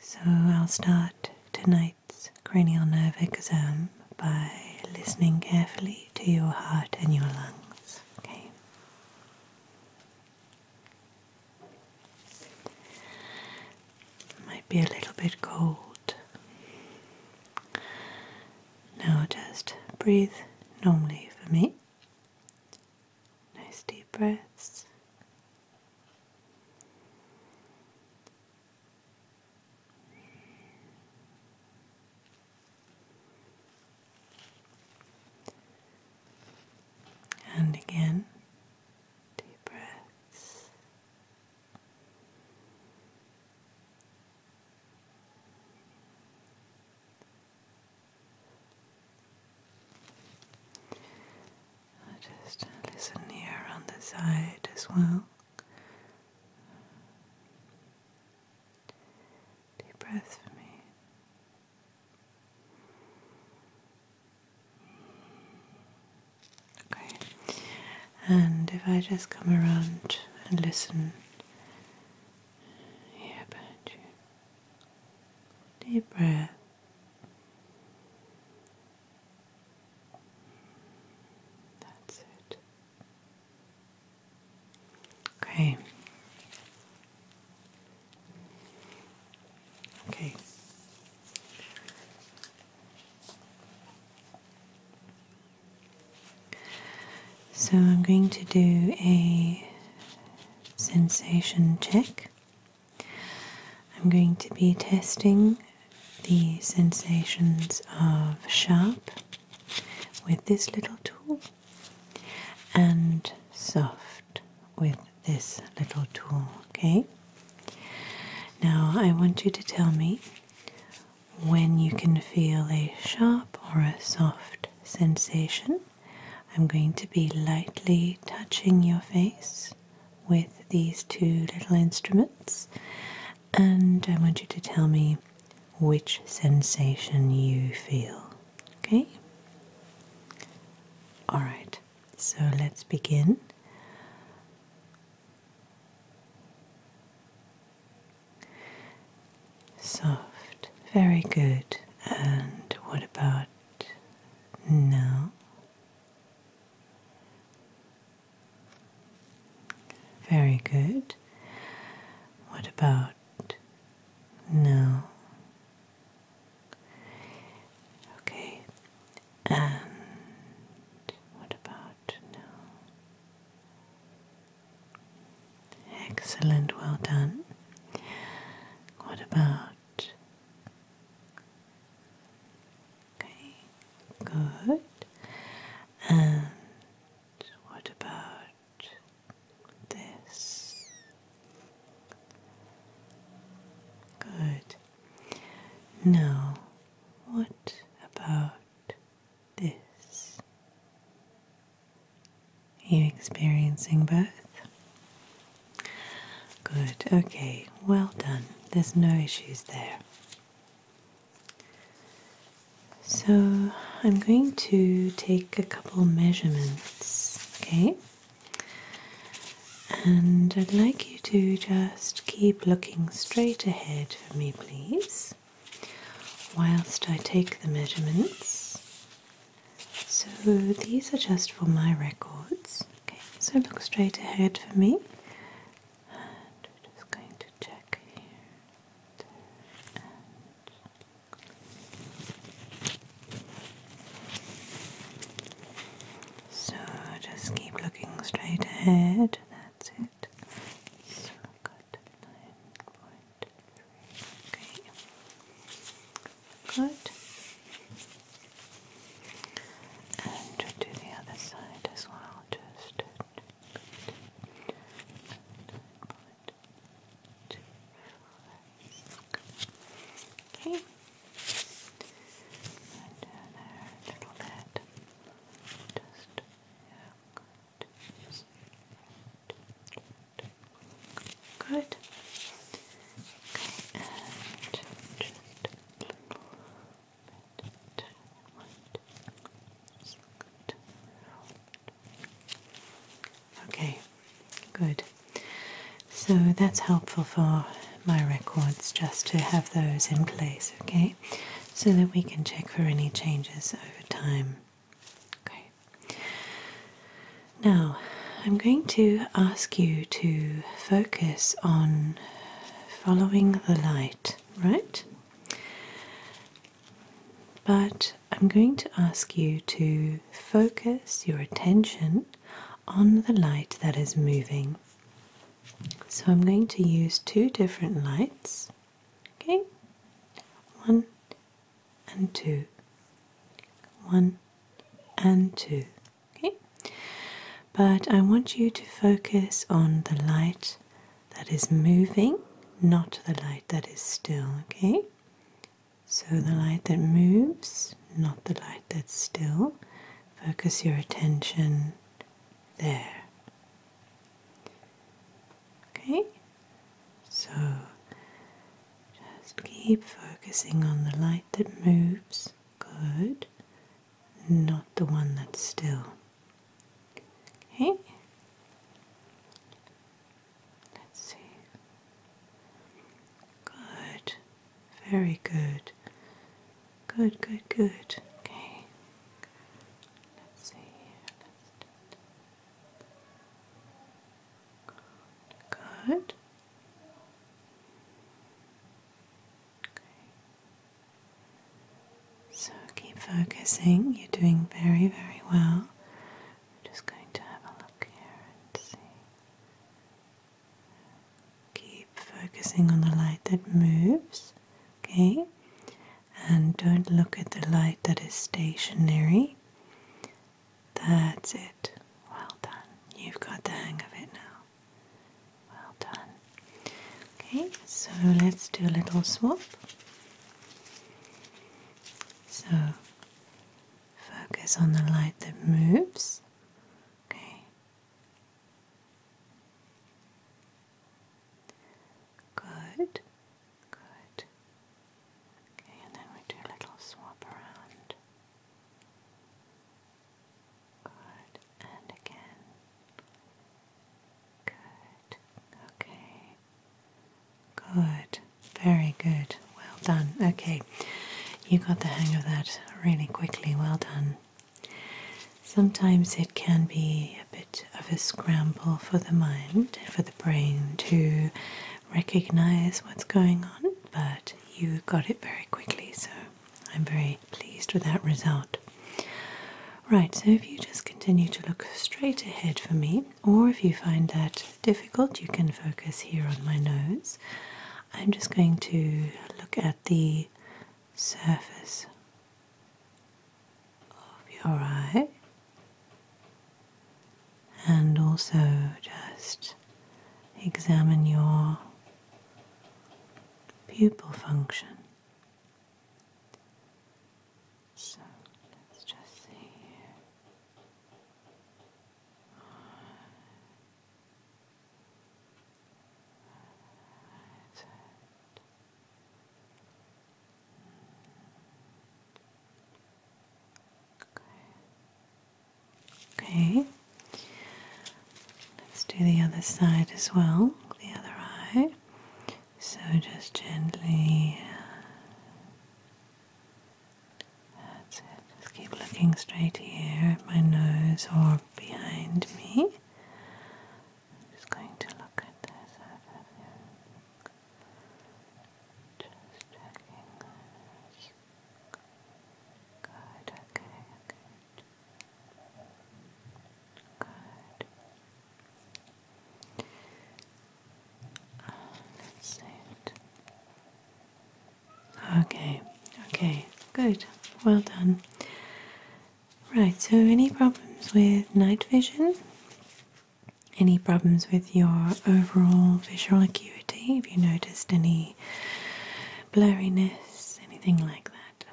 So I'll start tonight's cranial nerve exam by listening carefully to your heart and your lungs. Okay. Might be a little bit cold. Now just breathe normally for me. Nice deep breaths. And again, deep breaths. I'll just listen here on the side as well. Deep breath for me. Okay, and if I just come around and listen here about you, deep breath. That's it. Okay. Okay. So I'm going to do a sensation check. I'm going to be testing the sensations of sharp with this little tool and soft with this little tool, okay? Now I want you to tell me when you can feel a sharp or a soft sensation I'm going to be lightly touching your face with these two little instruments, and I want you to tell me which sensation you feel. Okay? Alright, so let's begin. Soft, very good. And what about no. Very good. What about no? Okay. And what about no? Excellent, well done. What about Okay, good. And what about this? Good. Now, what about this? You experiencing both? Good, okay, well done. There's no issues there. So I'm going to take a couple measurements, okay? And I'd like you to just keep looking straight ahead for me, please, whilst I take the measurements. So these are just for my records. Okay, so look straight ahead for me. And we're just going to check here. so just keep looking straight ahead. That's it. So i Good. And do the other side as well. Just good. Okay. And down there Just, good. Good. Okay, good. Okay, good. So that's helpful for my records just to have those in place, okay? So that we can check for any changes over time. Okay. Now, I'm going to ask you to focus on following the light, right? But I'm going to ask you to focus your attention on the light that is moving. So I'm going to use two different lights. Okay, one and two, one and two. Okay, but I want you to focus on the light that is moving, not the light that is still. Okay, so the light that moves, not the light that's still. Focus your attention there. Okay, so just keep focusing on the light that moves. Good. Not the one that's still. Okay. Let's see. Good. Very good. Good, good, good. Okay. Let's see. Good. Okay. So keep focusing. You're doing very, very well. I'm just going to have a look here and see. Keep focusing on the light that moves, okay? And don't look at the light that is stationary. That's it. Well done. You've got the hang of it now. Well done. Okay, so let's do a little swap. So focus on the light that moves. Okay. Good. Good. Okay, and then we do a little swap around. Good, and again. Good, okay. Good, very good. Well done. Okay, you got the hang of that really quickly. Well done. Sometimes it can be a bit of a scramble for the mind, for the brain to recognize what's going on, but you got it very quickly, so I'm very pleased with that result. Right, so if you just continue to look straight ahead for me, or if you find that difficult, you can focus here on my nose. I'm just going to look at the surface of your eye and also just examine your pupil function. So let's just see here. Okay. Let's do the other side as well, the other eye. So just gently. That's it. Just keep looking straight here at my nose or behind me. I'm just going to look at this. Just checking. Good, okay, good. Good. Okay, okay, good. Well done. Right, so any problems with night vision? any problems with your overall visual acuity, Have you noticed any blurriness, anything like that.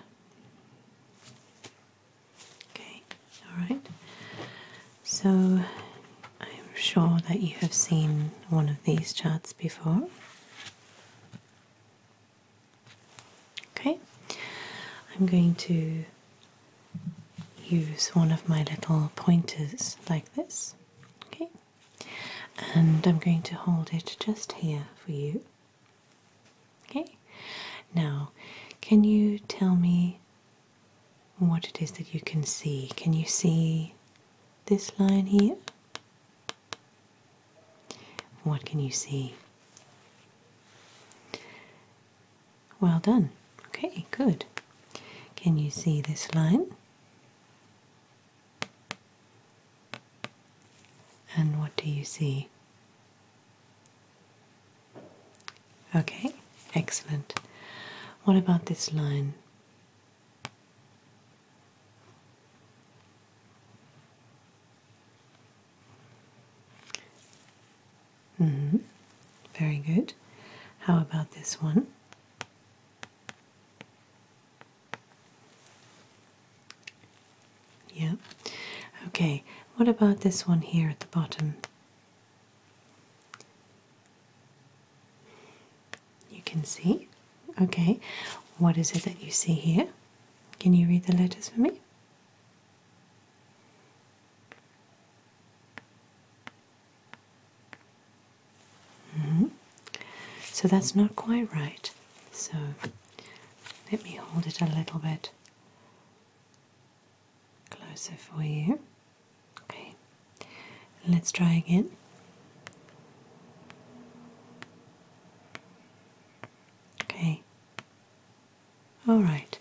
Okay, alright. So I'm sure that you have seen one of these charts before. Okay, I'm going to use one of my little pointers like this. Okay, and I'm going to hold it just here for you. Okay, now can you tell me what it is that you can see? Can you see this line here? What can you see? Well done. Okay, good. Can you see this line? And what do you see? Okay, excellent. What about this line? Mm -hmm. Very good. How about this one? Yeah. Okay, what about this one here at the bottom? You can see. Okay, what is it that you see here? Can you read the letters for me? Mm-hmm. So that's not quite right. So let me hold it a little bit closer for you. Okay, let's try again. Okay, all right.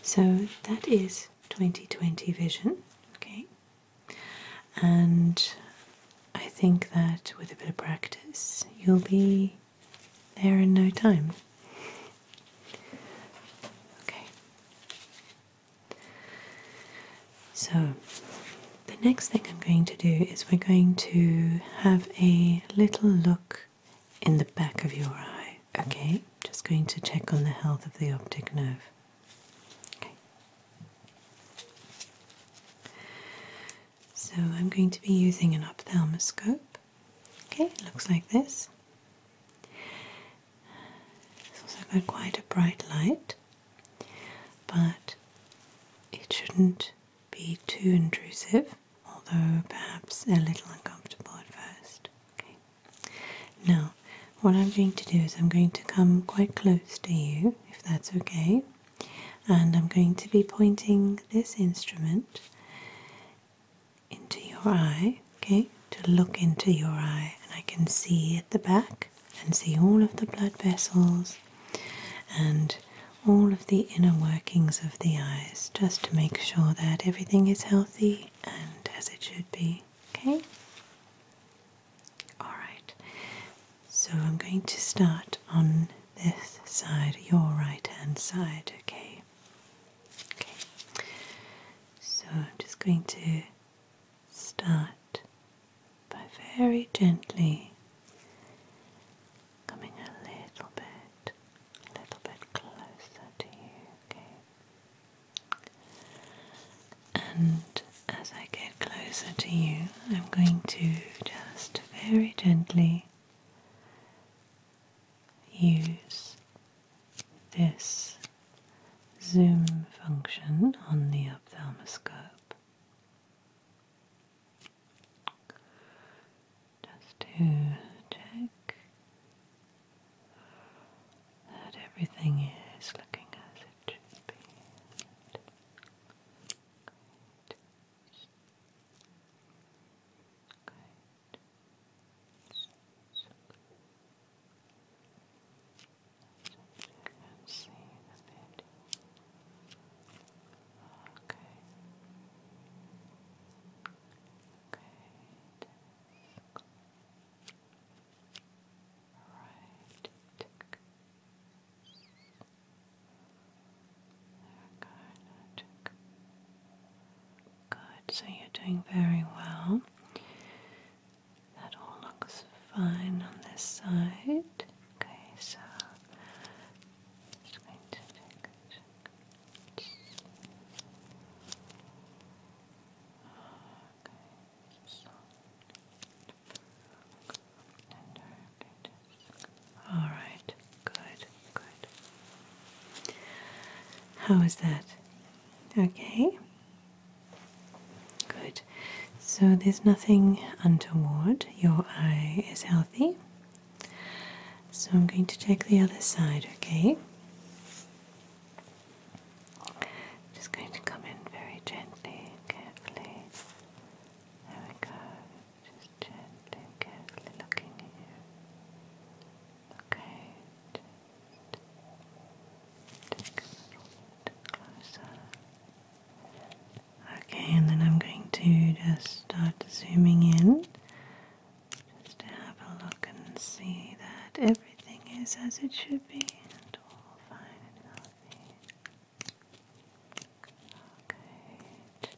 So that is 2020 vision. Okay, and I think that with a bit of practice, you'll be there in no time. Okay, so the next thing I'm going to do is we're going to have a little look in the back of your eye. Okay, just going to check on the health of the optic nerve. Okay. So I'm going to be using an ophthalmoscope. Okay, it looks like this. It's also got quite a bright light, but it shouldn't be too intrusive, although perhaps a little uncomfortable at first. Okay. Now, what I'm going to do is I'm going to come quite close to you, if that's okay, and I'm going to be pointing this instrument into your eye, okay, to look into your eye, and I can see at the back and see all of the blood vessels and all of the inner workings of the eyes just to make sure that everything is healthy and as it should be okay? Alright, so I'm going to start on this side, your right hand side, okay? Okay, so I'm just going to start by very gently coming a little bit, a little bit closer to you, okay? And as I get closer to you, I'm going to just very gently use this zoom function on the ophthalmoscope just to check that everything is looking as it should be. Okay. Okay. Right. good. So you're doing very well. That all looks fine on this side. Okay, so all right, good, good. How is that? Okay, good. So there's nothing untoward, your eye is healthy. So I'm going to check the other side, okay? Just going to come in very gently carefully. There we go. Just gently carefully looking at you. Okay. Just a little bit closer. Okay, and then I'm going to just start zooming in just to have a look and see that everything is as it should be and all fine and healthy. Okay. Okay.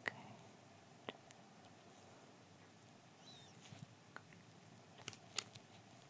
Okay.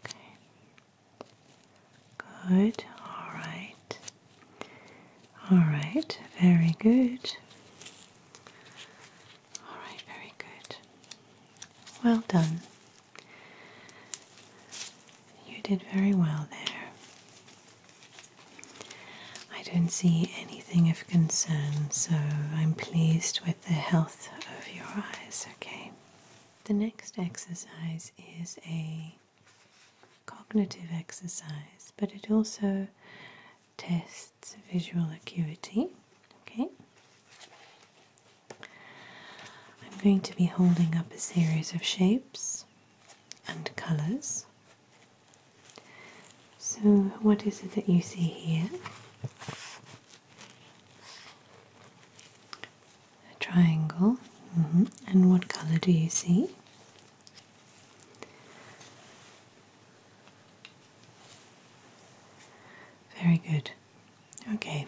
Okay. Good. All right. All right. Very good. All right. Very good. Well done. You did very well there. I don't see anything of concern, so I'm pleased with the health of your eyes, okay? The next exercise is a cognitive exercise, but it also tests visual acuity, okay? I'm going to be holding up a series of shapes and colors so, what is it that you see here? A triangle. Mm-hmm. And what colour do you see? Very good. Okay,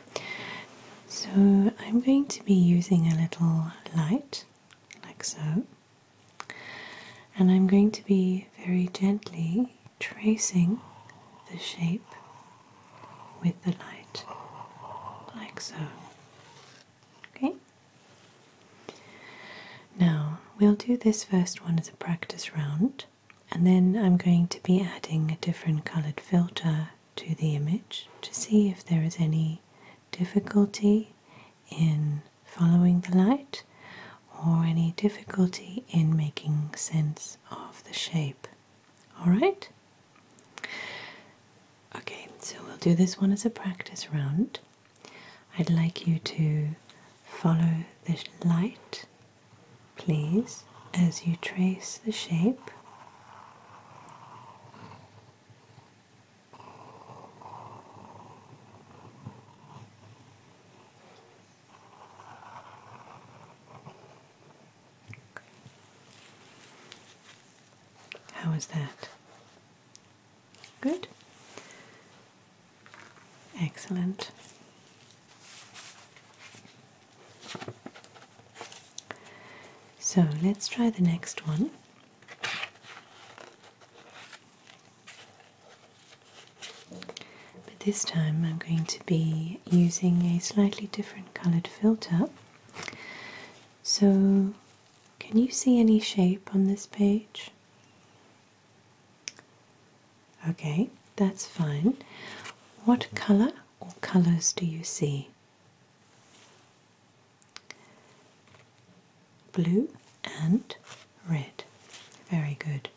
so I'm going to be using a little light, like so. And I'm going to be very gently tracing the shape with the light, like so. Okay? Now, we'll do this first one as a practice round, and then I'm going to be adding a different coloured filter to the image to see if there is any difficulty in following the light or any difficulty in making sense of the shape. Alright? Okay, so we'll do this one as a practice round. I'd like you to follow the light, please, as you trace the shape. How was that? Good. Excellent. So let's try the next one. But this time I'm going to be using a slightly different coloured filter. So, can you see any shape on this page? Okay, that's fine. What colour or colours do you see? Blue and red. Very good.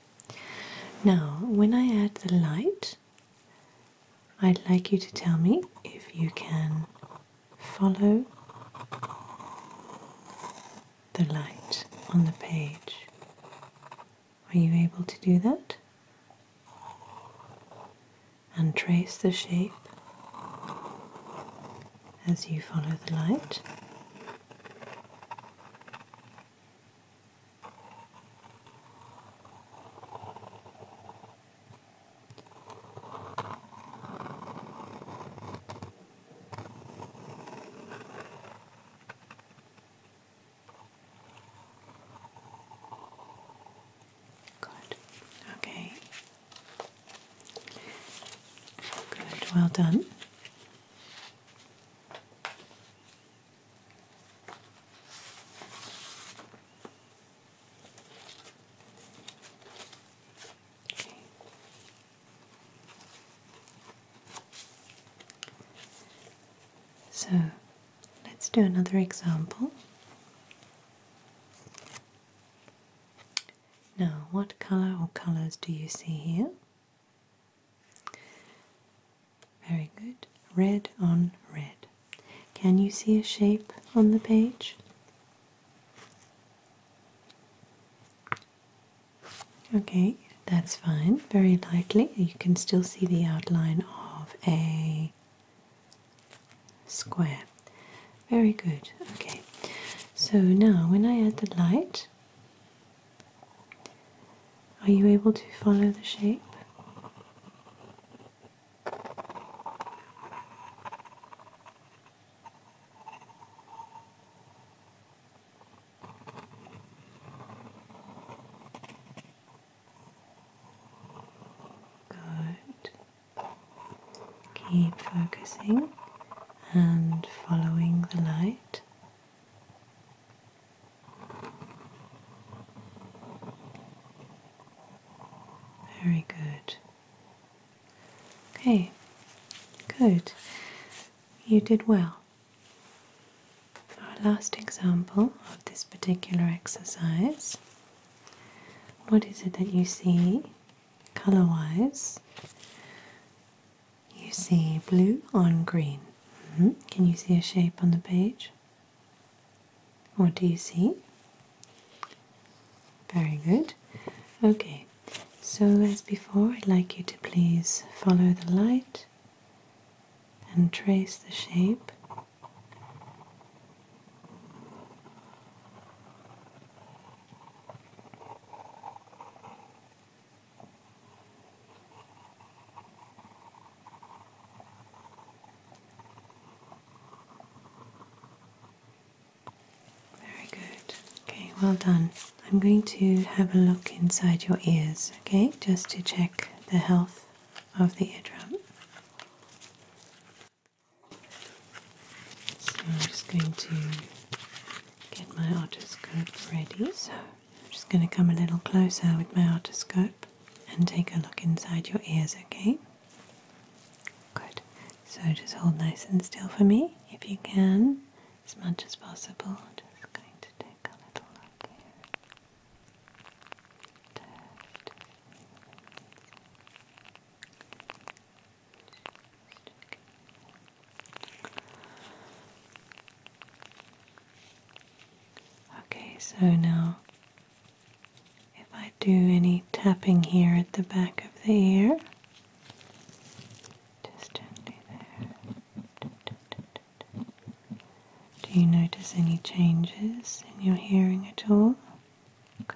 Now, when I add the light, I'd like you to tell me if you can follow the light on the page. Are you able to do that? and trace the shape as you follow the light. Good. Okay. Good. Well done. Okay. So let's do another example. Now, what colour or colours do you see here? Very good. Red on red. Can you see a shape on the page? Okay, that's fine. Very lightly. You can still see the outline of a square. Very good. Okay. So now when I add the light, are you able to follow the shape? Good. Keep focusing and following the light. Very good. Okay, good. You did well. Our last example of this particular exercise what is it that you see color wise? You see blue on green. Mm-hmm. Can you see a shape on the page? What do you see? Very good. Okay, so as before, I'd like you to please follow the light and trace the shape very good. Okay, well done. I'm going to have a look inside your ears, okay, just to check the health of the eardrum. So I'm just going to get my otoscope ready. So I'm just going to come a little closer with my otoscope and take a look inside your ears, okay? Good. So just hold nice and still for me if you can, as much as possible. I'm just going to take a little look here. Okay, so now if I do any tapping here at the back of the ear, there. Do you notice any changes in your hearing at all? Okay.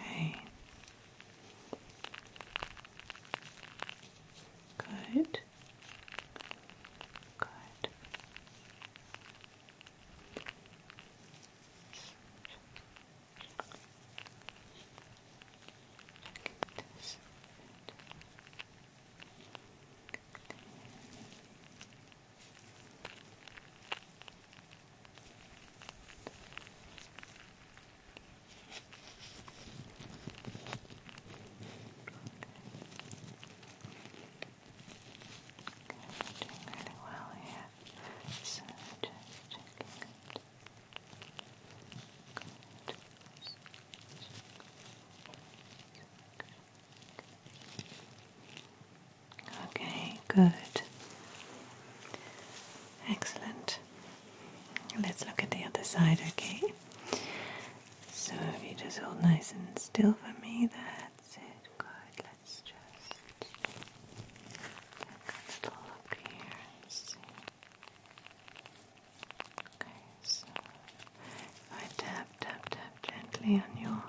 Okay. Good. Good this Okay. Doing really well here. Okay, good. Excellent. Let's look at the other side, okay? So if you just hold nice and still for me, that's it. Good let just kind of look Okay, if I tap, tap, tap gently on your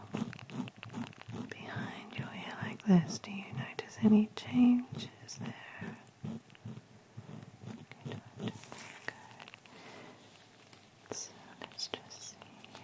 behind your ear like this, do you notice any changes there? Okay, Good. So just here.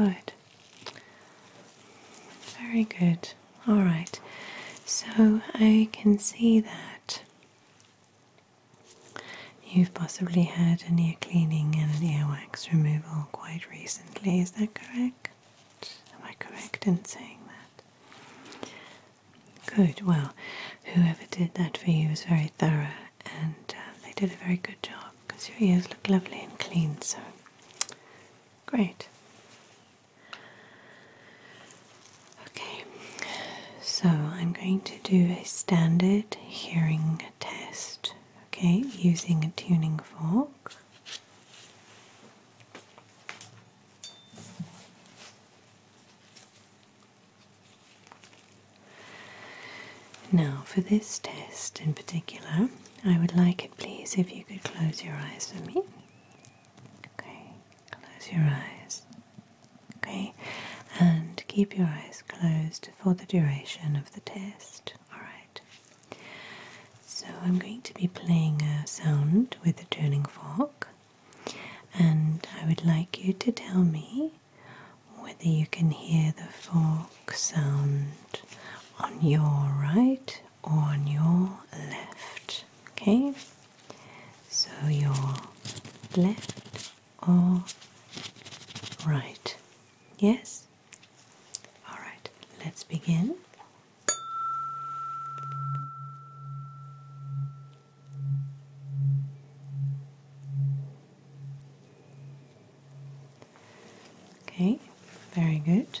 Okay, good. Very good. All right. So I can see that You've possibly had an ear cleaning and an earwax removal quite recently, is that correct? Am I correct in saying that? Good, well, whoever did that for you was very thorough and uh, they did a very good job because your ears look lovely and clean, so great. Okay, so I'm going to do a standard hearing test, okay, using a tuning fork. Now, for this test in particular, I would like it please if you could close your eyes for me. Okay, close your eyes okay? And keep your eyes closed for the duration of the test, alright? So I'm going to be playing a sound with a turning fork, and I would like you to tell me whether you can hear the fork sound on your right or on your left, okay? So your left all right. Yes? Alright, let's begin. Okay, very good.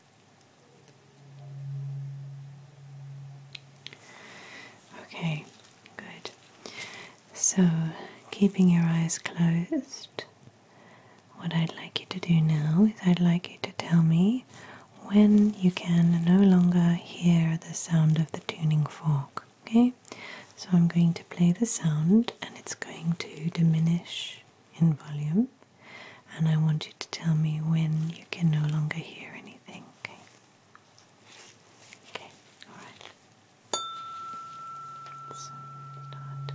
Okay, good. So, keeping your eyes closed, what I'd like you to do now is I'd like you to tell me when you can no longer hear the sound of the tuning fork. Okay, so I'm going to play the sound and it's going to diminish in volume and I want you to tell me when you can no longer hear anything, okay? Okay, alright. So, start. Okay.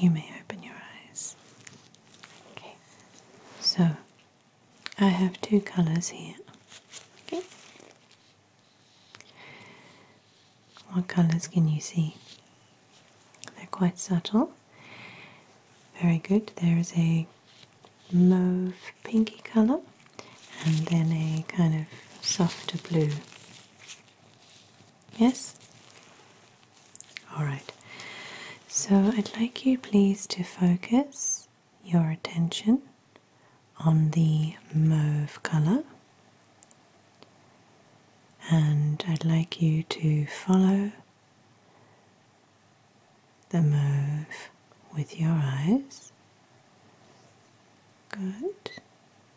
You may open your eyes. Okay, so I have two colors here. Okay. What colors can you see? They're quite subtle. Very good. There is a mauve pinky color and then a kind of softer blue. Yes? Alright. So I'd like you please to focus your attention on the mauve colour, and I'd like you to follow the mauve with your eyes. Good.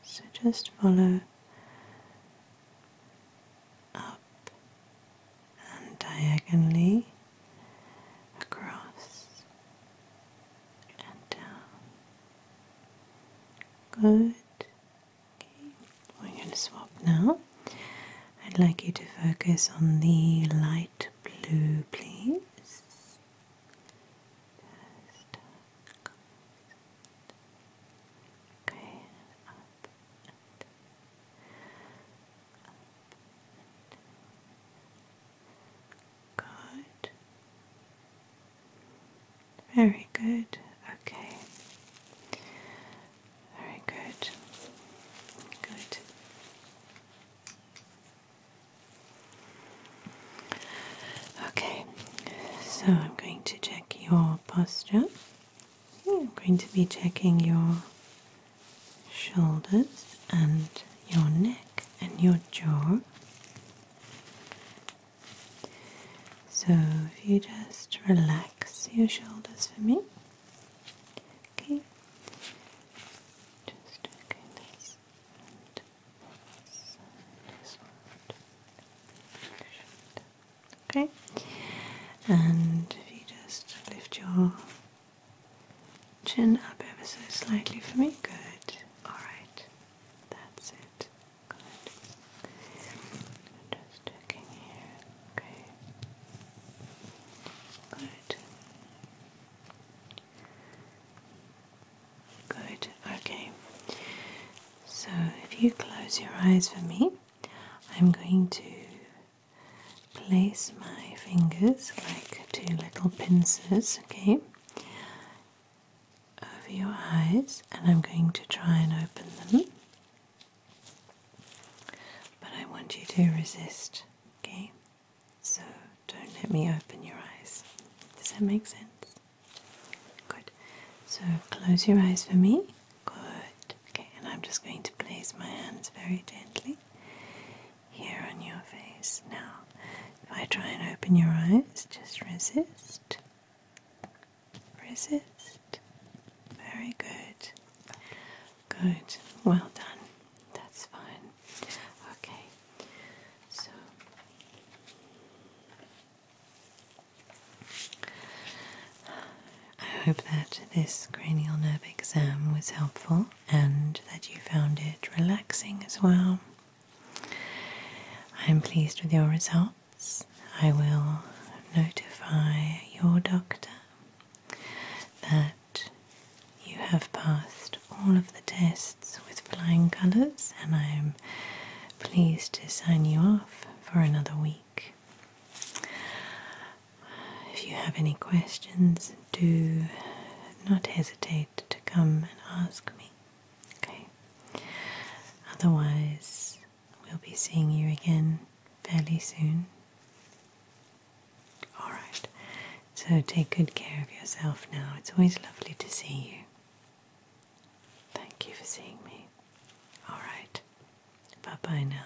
So just follow up and diagonally across and down. Good. Okay. We're going to swap now. I'd like you to focus on the light blue, please. okay, Good. Very good. Okay. Very good. Good. Okay, so I'm going to check your posture. I'm going to be checking your shoulders and your neck and your jaw. So if you just relax your shoulders for me. Okay. Just okay this and one. Okay. And if you just lift your Chin up ever so slightly for me. Good. Alright. That's it. Good. Just checking here. Okay. Good. Good. Okay. So if you close your eyes for me, I'm going to place my fingers like two little pincers, okay, over your eyes, and I'm going to try and open them. But I want you to resist, okay? So don't let me open your eyes. Does that make sense? Good. So close your eyes for me. Good. Okay, and I'm just going to place my hands very gently here on your face. Now, if I try and open your eyes, just resist. Resist. Very good. Good. Well done. That's fine. Okay. So. I hope that this cranial nerve exam was helpful and that you found it relaxing as well. I'm pleased with your results. I will notify your doctor that you have passed all of the tests with flying colours, and I'm pleased to sign you off for another week. If you have any questions, do not hesitate to come and ask me. Okay? Otherwise, we'll be seeing you again fairly soon. Alright, so take good care of yourself now. It's always lovely to see you. Thank you for seeing me. Alright, bye bye now.